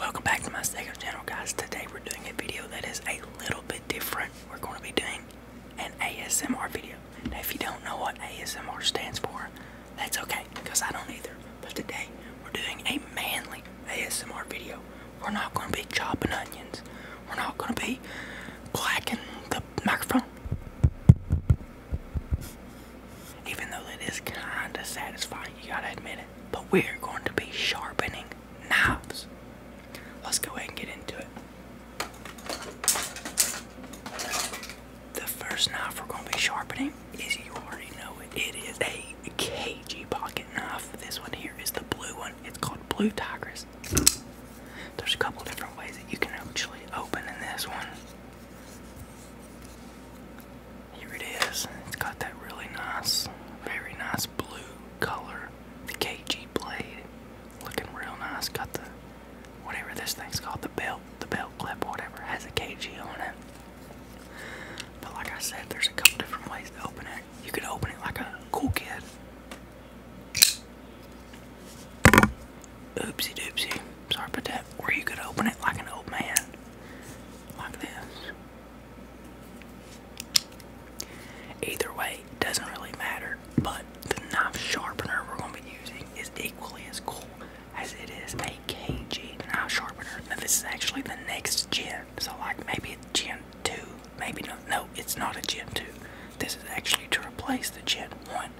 Welcome back to my second channel guys. Today we're doing a video that is a little bit different. We're going to be doing an ASMR video. if you don't know what ASMR stands for, that's okay because I don't either. But today we're doing a manly ASMR video. We're not going to be chopping onions. We're not going to be blacking the microphone. Even though it is kind of satisfying, you gotta admit it. But we're going to be sharpening knives. Let's go ahead and get into it. The first knife we're going to be sharpening is you already know it. It is a KG pocket knife. This one here is the blue one. It's called Blue Tigress. There's a couple different ways that you can actually open in this one. Here it is. It's got that really nice, very nice blue color. The KG blade. Looking real nice. Got the whatever this thing's called, the belt, the belt clip, whatever, has a KG on it. But like I said, there's a couple different ways to open it. You could open it like a cool kid. Oopsie doopsie. Sorry about that. Or you could open it like an old man like this. Either way, doesn't really matter, but the knife sharpener we're going to be using is equally as cool as it is a KG knife sharpener. this is actually the next gen, so like maybe it's gen 2, maybe not. No, it's not a gen 2. This is actually to replace the gen 1.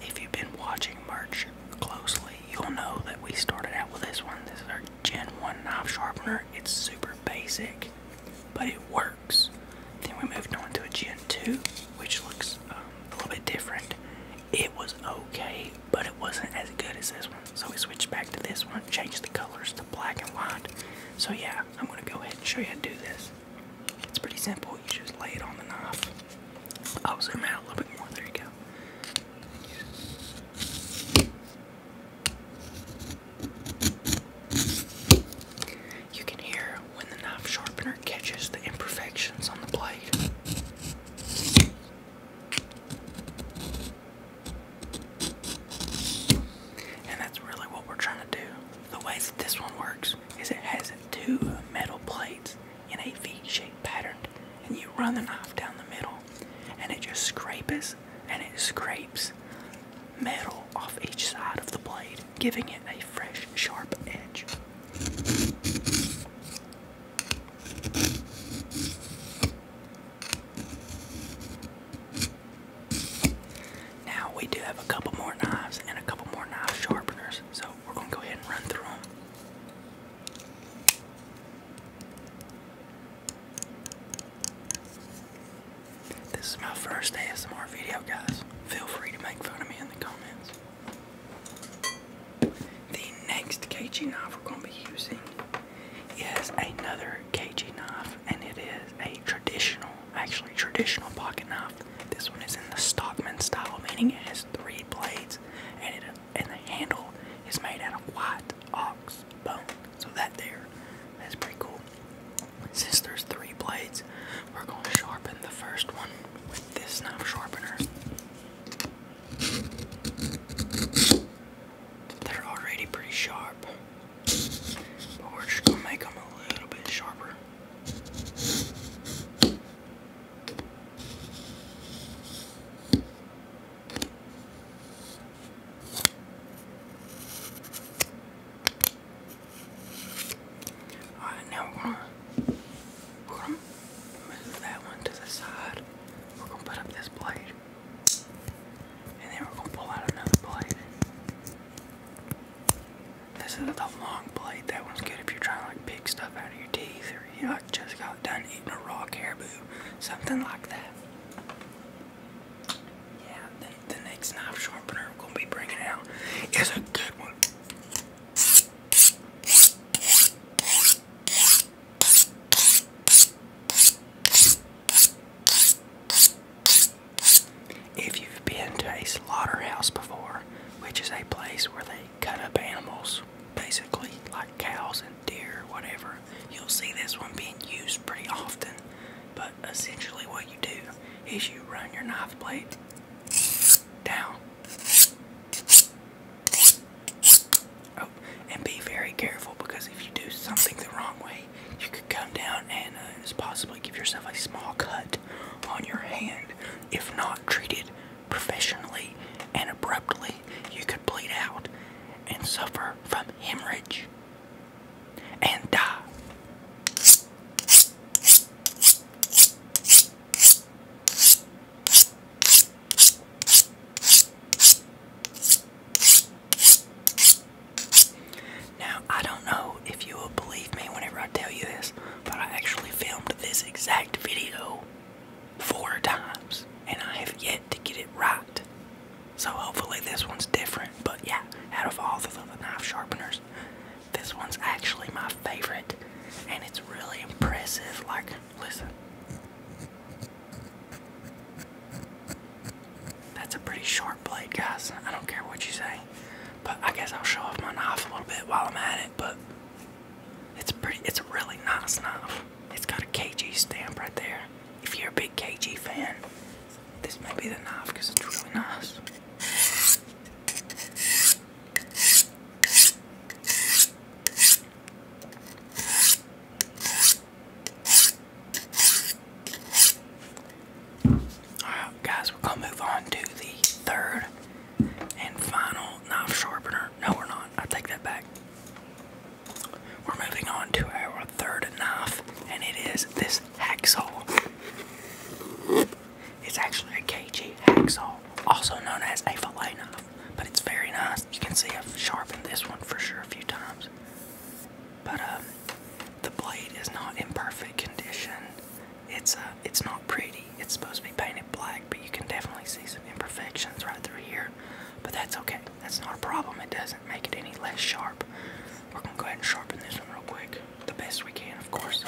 If you've been watching March closely, you'll know that we started out with this one. This is our Gen 1 knife sharpener. It's super basic, but it works. Then we moved on to a Gen 2, which looks um, a little bit different. It was okay, but it wasn't as good as this one. So we switched back to this one, changed the colors to black and white. So yeah, I'm gonna go ahead and show you how to do this. It's pretty simple. You just lay it on the knife I'll oh, zoom out a little bit more. There you go. You can hear when the knife sharpener catches the imperfections on the blade. And that's really what we're trying to do. The way that this one works is it has two metal plates in a V-shaped pattern, and you run the knife down the middle, and it just scrapes and it scrapes metal off each side of the blade, giving it a fresh, sharp edge. Now we do have a couple more knives and a couple more knife sharpeners. So we're going to go ahead and run through them. This is my first ASMR video, guys. Feel free to make fun of me in the comments. The next KG knife we're going to be using is another KG knife, and it is a traditional, actually traditional pocket knife this one is in the Stockman style, meaning it has three blades, and the handle is made out of white ox bone. So that there, that's pretty cool. Since there's three blades, we're going to sharpen the first one with this knife sharpener. They're already pretty sharp, but we're just going to make them a little bit sharper. Alright, now we're gonna, we move that one to the side. We're gonna put up this blade. And then we're gonna pull out another blade. This is the long blade. That one's good if you're trying to like pick stuff out of your teeth or you know, just got done eating a raw caribou. Something like that. Yeah, the, next knife sharpener I'm be bringing out is a good one. If you've been to a slaughterhouse before, which is a place where they cut up animals, basically like cows and deer, or whatever, you'll see this one being used pretty often. But essentially, what you do is you run your knife blade down. Oh, and be very careful because if you do something the wrong way, you could come down and uh, possibly give yourself a small cut on your hand. If not treated professionally and abruptly, you could bleed out and suffer from hemorrhage and die. Now, I don't know if you will believe me whenever I tell you this, but I actually filmed this exact video four times, and I have yet to get it right. So hopefully this one's different, but yeah, out of all the knife sharpeners, this one's actually my favorite, and it's really impressive. Like, listen. That's a pretty short blade, guys. I don't care what you say. But I guess I'll show off my knife a little bit while I'm at it, but it's pretty it's a really nice knife. It's got a KG stamp right there. If you're a big KG fan, this may be the knife because it's really nice. Alright, guys, we're gonna move on to the third and final knife sharpener. No, we're not. I take that back. We're moving on to our third knife, and it is this hacksaw. It's actually a KG hacksaw, also known as a fillet knife, but it's very nice. You can see I've sharpened this one for sure a few times. But um, the blade is not in perfect condition. It's uh, it's not pretty. It's supposed to be painted black, but you can definitely see some imperfections right through here. But that's okay. That's not a problem. It doesn't make it any less sharp. We're gonna go ahead and sharpen this one real quick, the best we can, of course.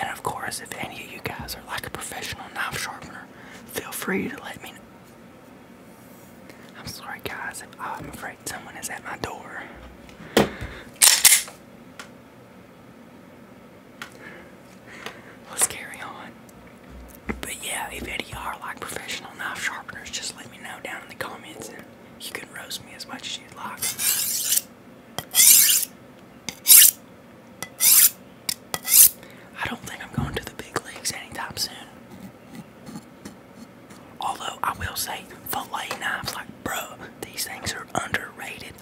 And of course, if any of you guys are like a professional knife sharpener, feel free to let me know. I'm sorry, guys, I'm afraid someone is at my door. Let's carry on. But yeah, if any of y'all like professional knife sharpeners, just let me know down in the comments and you can roast me as much as you like. I don't think I'm going to the big leagues anytime soon. Although I will say, fillet knives, like bro, these things are underrated,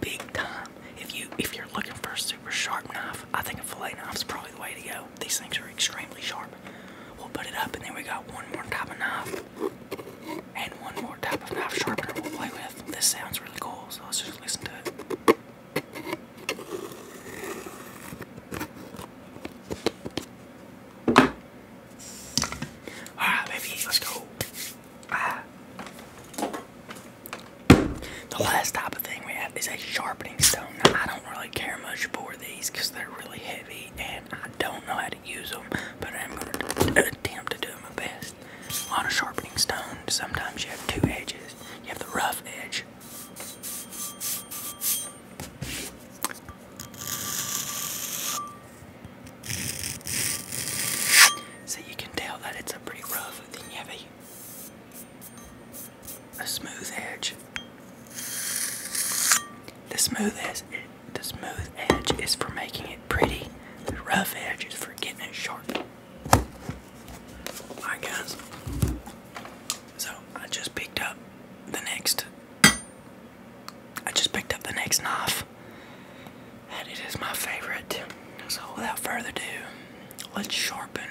big time. If you if you're looking for a super sharp knife, I think a fillet knife is probably the way to go. These things are extremely sharp. We'll put it up, and then we got one more type of knife, and one more type of knife sharpener we'll play with. This sounds really cool, so let's just listen to it. Alright, baby, let's go. Ah. The last type of thing we have is a sharpening stone. I don't really care much for these because they're really heavy and I don't know how to use them, but I'm going to attempt to do my best. On a sharpening stone, sometimes you have two edges. You have the rough edge so you can tell that it's a pretty rough and heavy, a smooth edge. The smooth edge, the smooth edge is for making it pretty. The rough edge is for getting it sharp. Alright guys, so I just picked up the next, I just picked up the next knife, and it is my favorite. So without further ado, let's sharpen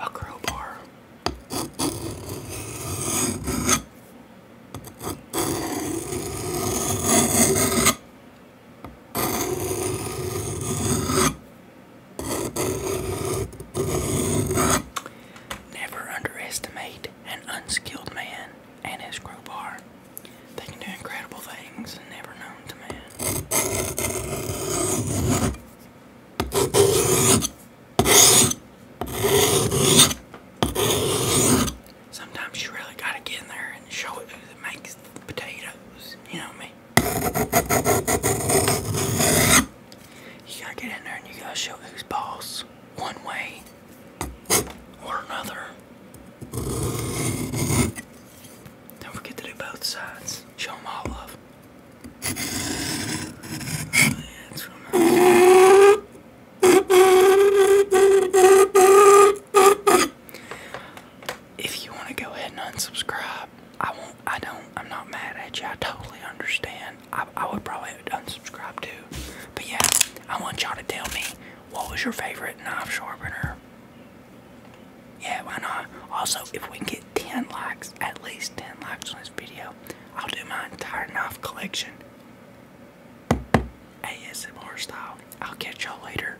a crowbar. Never underestimate an unskilled man and his crowbar. They can do incredible things never known to man. Sometimes you really gotta get in there and show it who makes the potatoes. You know what I mean? You gotta get in there and you gotta show who's boss one way or another. Don't forget to do both sides. Show all love if you want to go ahead and unsubscribe, I won't. I don't. I'm not mad at you. I totally understand. I, would probably unsubscribe too. But yeah, I want y'all to tell me what was your favorite knife sharpener. Yeah, why not? Also, if we get 10 likes, at least 10 likes on this video, I'll do my entire knife collection. ASMR style. I'll catch y'all later.